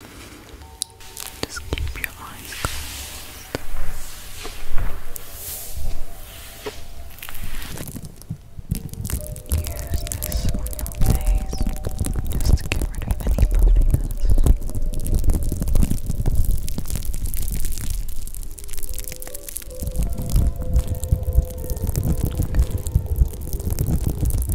Just keep your eyes closed. Use this on your face just get rid of any puffiness.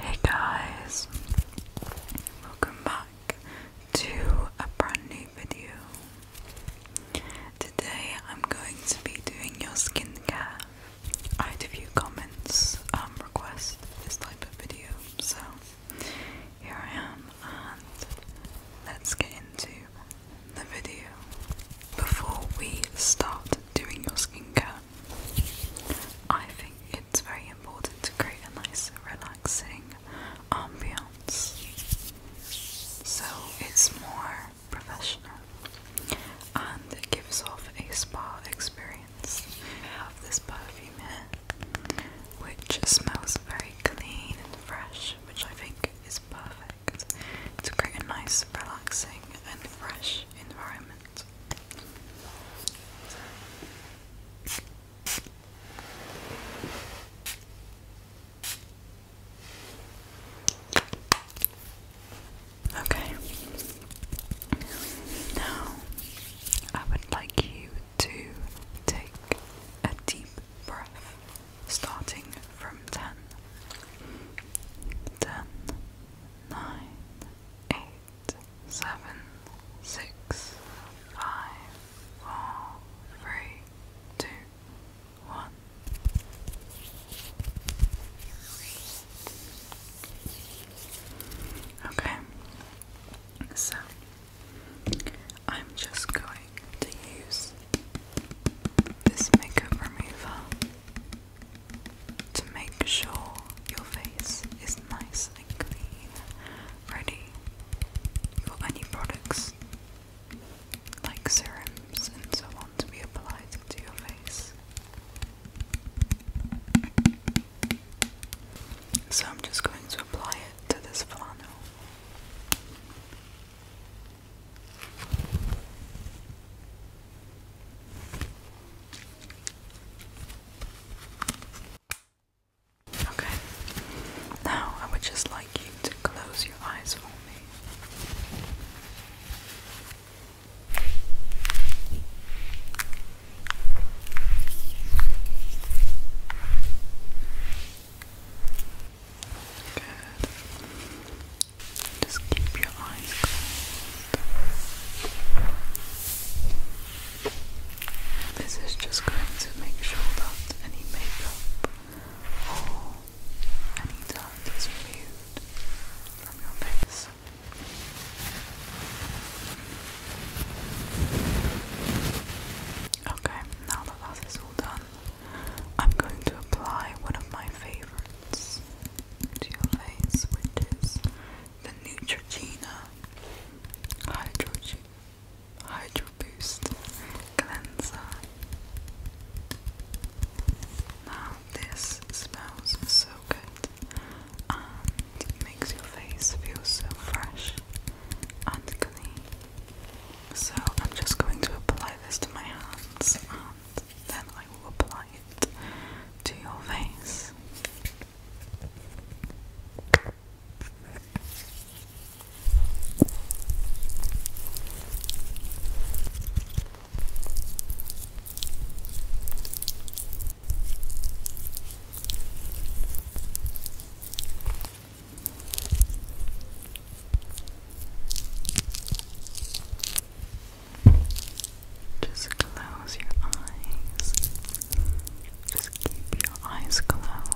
Hey guys, welcome back to a brand new video. Today I'm going to be doing your skincare I had a few comments um, request this type of video, so here I am, and let's get into the video. Before we start doing your skincare, I think it's very important to create a nice, relaxing ambiance. So it's more professional and gives off a spa experience. have this perfume here which smells very clean and fresh, which I think is perfect to create a nice, relaxing, and fresh environment. Okay. Now, I would like you to take a deep breath starting from 10. 10, one. Okay, so I'm just going to use this makeup remover to make sure your face is nice and clean, ready for any products like serums and so on to be applied to your face. So I'm just going to apply it to this flannel. Okay, now I would just like you to close your eyes for me. Good. Just keep your eyes closed. This is just going to make sure that any makeup or any dirt removed from your face. Okay, now that that is all done, I'm going to apply one of my favourites to your face, which is the Neutrogena Hydro Boost Cleanser this smells so good and it makes your face feel so fresh and clean. So I'm just going to apply this to my hands and then I will apply it to your face. Just close your eyes. Just keep your eyes closed.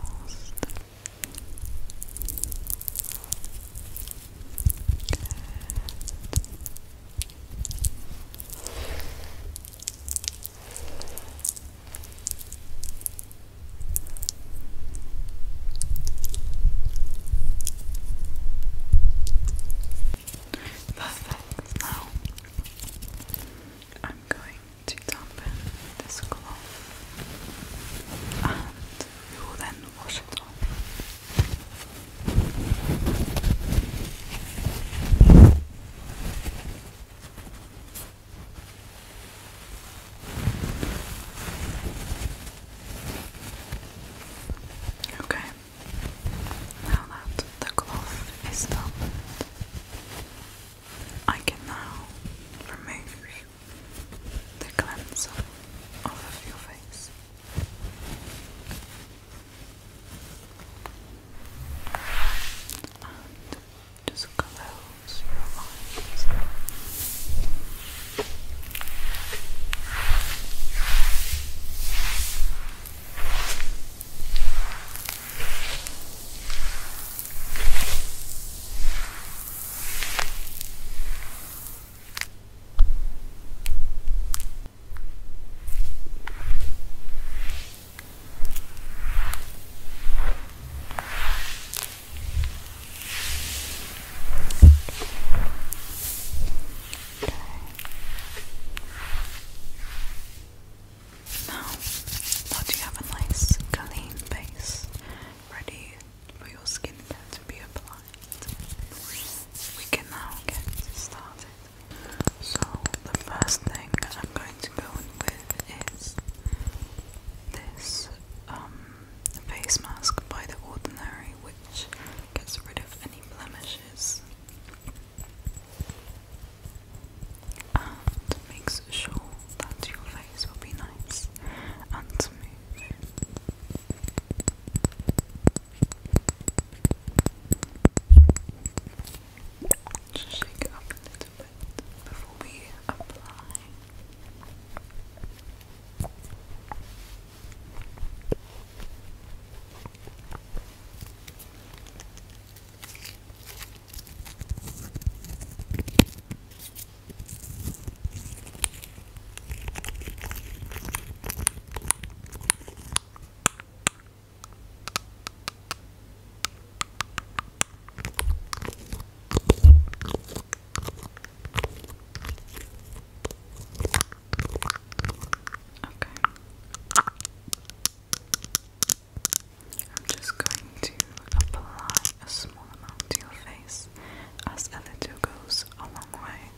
Perfect. Now I'm going to dampen this cloth and um, we will Okay, now that the cloth is done, I can now remove the cleanser off of your face. And just close your eyes. Okay. Now, now you have a nice clean base ready for your skincare to be applied. We can now get started. So the first thing I'm going to go in with is this um, face mask by The Ordinary, which gets rid of any blemishes and makes sure that your eyes will be nice and smooth. Just shake up a little bit before we apply. Okay. I'm just going to apply a small amount to your face, as a little goes a long way.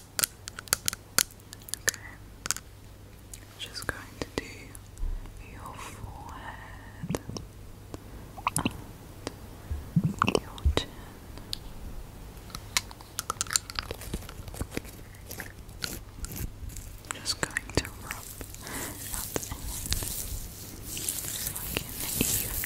Okay. Just going to do your forehead and your chin. Just going to rub that in like an evenly amount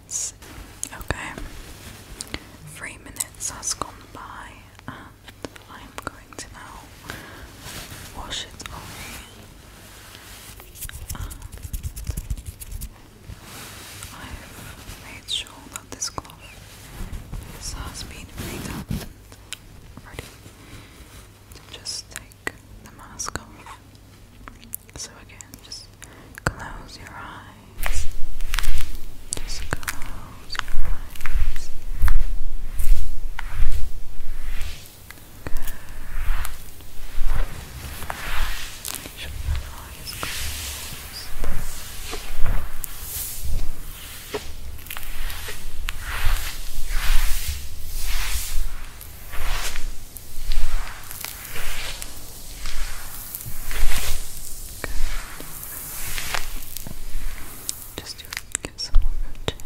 minutes. Okay. Three minutes has gone by and I'm going to now wash it off. I've made sure that this cloth has been made ready to just take the mask off. So again, just close your eyes. Just close your eyes. Good. Make your eyes Good. Just do get some on your chin,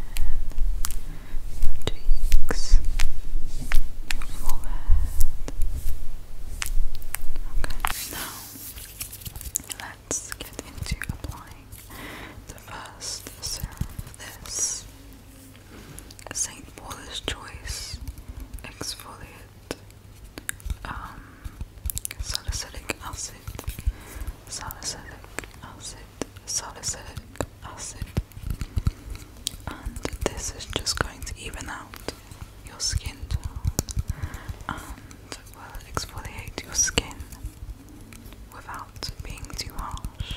cheeks, forehead. Okay, now let's get into applying the first serum. This St. Paul's Choice Exfoliate um, Salicylic Acid Salicylic Acid Salicylic Acid and this is just going to even out your skin and will exfoliate your skin without being too harsh.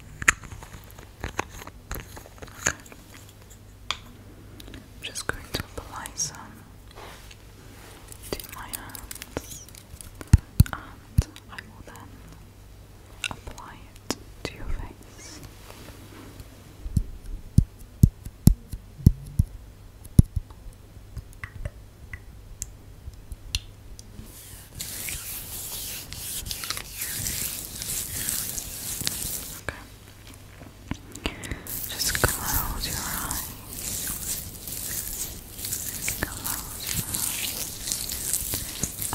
I'm just going to apply some to my hands and I will then apply it to your face. Okay. Just close your eyes. Close your eyes. Eyes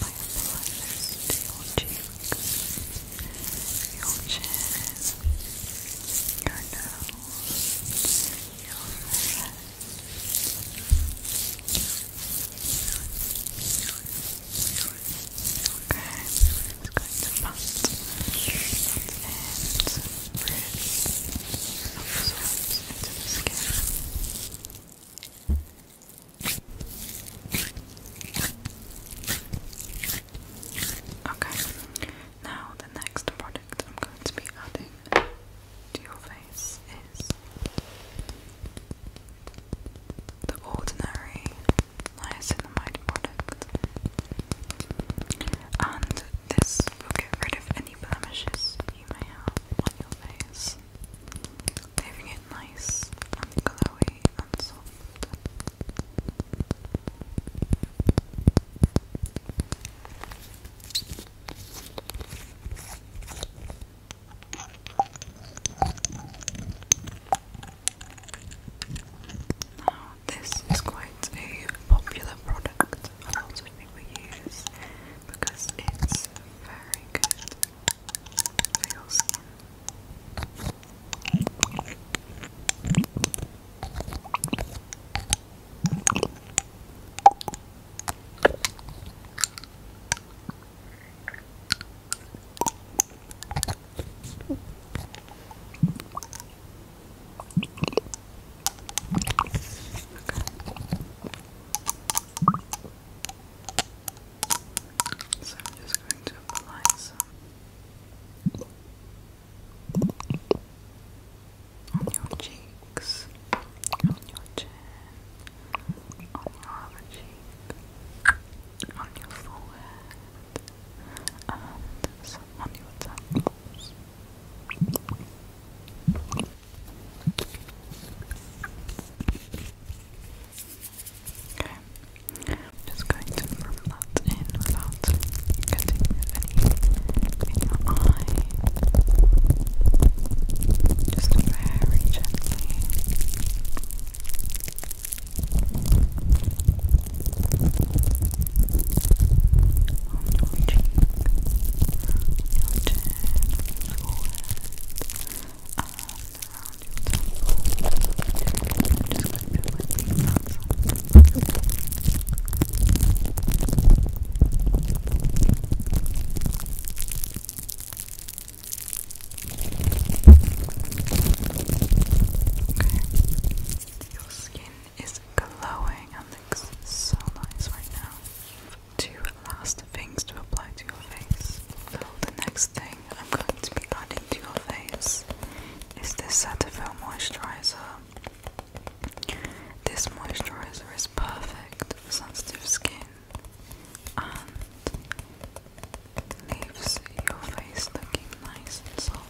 by your cheeks, your chin, your nose, your forehead to bust and breathe of sorts Okay, now the next product I'm going to be adding to your face is the ordinary niacinamide product, and this will get rid of any blemishes you may have on your face, leaving it nice and glowy and soft this is quite a popular product. A lot of people use because it's very good so I'm just going to apply some on your cheeks, on your chin, on your other cheek, on your forehead, and on your temples. Okay, just going to rub that in without getting in your eye. Just very gently. On your cheek, your chin, around your temple. Just let your lips out. Your skin is glowing and looks so nice right now. Two last things to apply to your face. So the next thing I'm going to be adding to your face is this Cetaphil moisturizer. This moisturizer is perfect for sensitive skin and leaves your face looking nice and soft.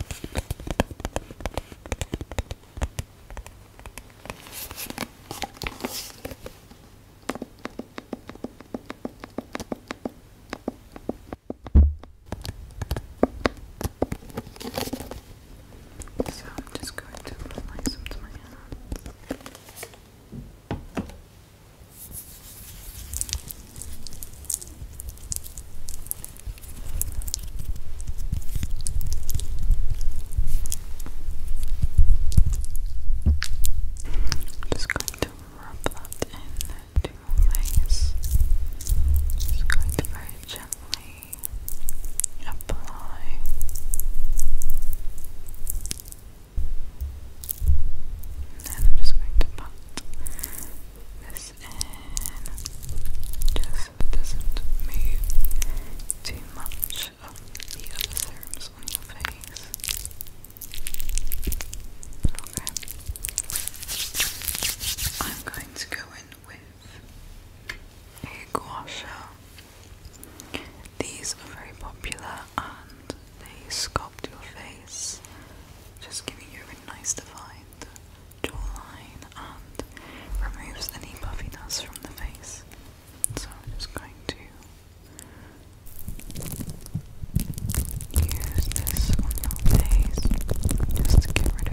So I'm just going to apply some to my hands. I'm just going to rub that in to my face. Just going to very gently apply and I'm just going to put this in just so it doesn't move too much of the other on your face okay I'm going to go in with a These are very popular and they sculpt your face, just giving you a nice defined jawline and removes any puffiness from the face. So I'm just going to use this on your face just to get rid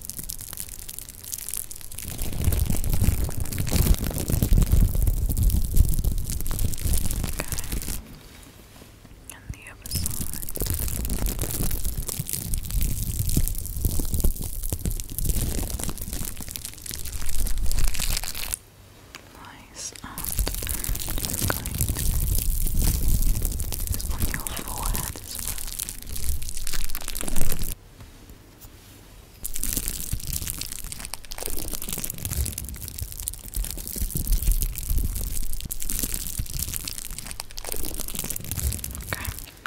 And the other side. Nice. And um, just going to do this on your forehead. Okay, I'm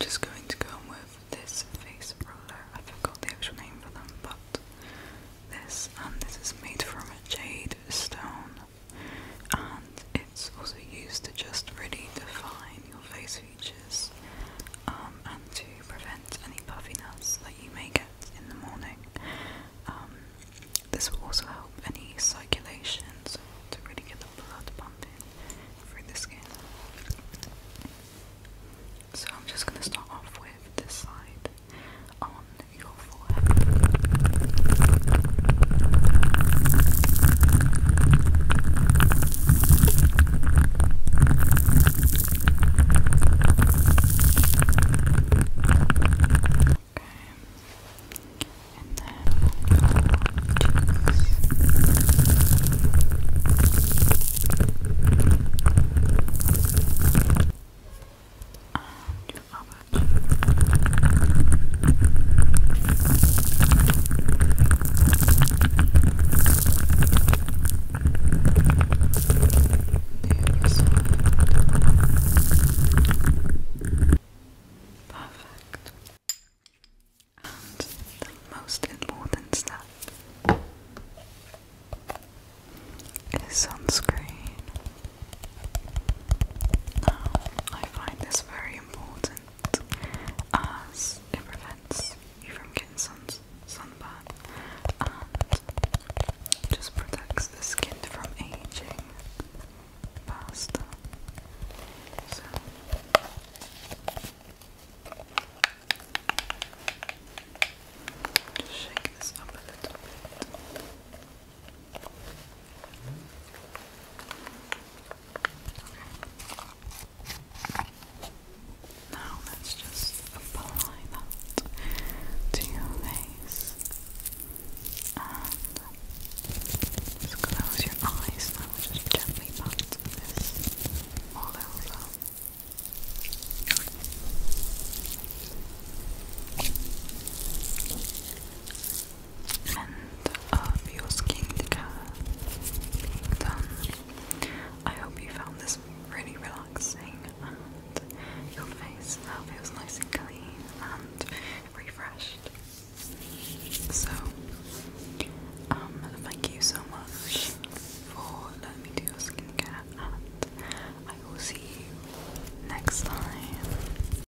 just going to go with this face roller. I forgot the actual name for them, but this and um, this is made from a jade stone and it's also used to just really define your face features um, and to prevent any puffiness that you may get in the morning. Um, this will also help any circulation so to really get the blood pumping through the skin. So I'm just going to start off with this side on your forehead. and then and your other Perfect. And the most important step is sunscreen. Now, I find this very very important as it prevents you from getting sun sunburn and just protects the skin from aging So just shake this up a little Okay. Now let's just apply that to your face. And close your eyes now, just gently pat this all over and of your skincare I hope you found this really relaxing and your face now feels nice and clean and refreshed. So, um, thank you so much for letting me do your skincare and I will see you next time.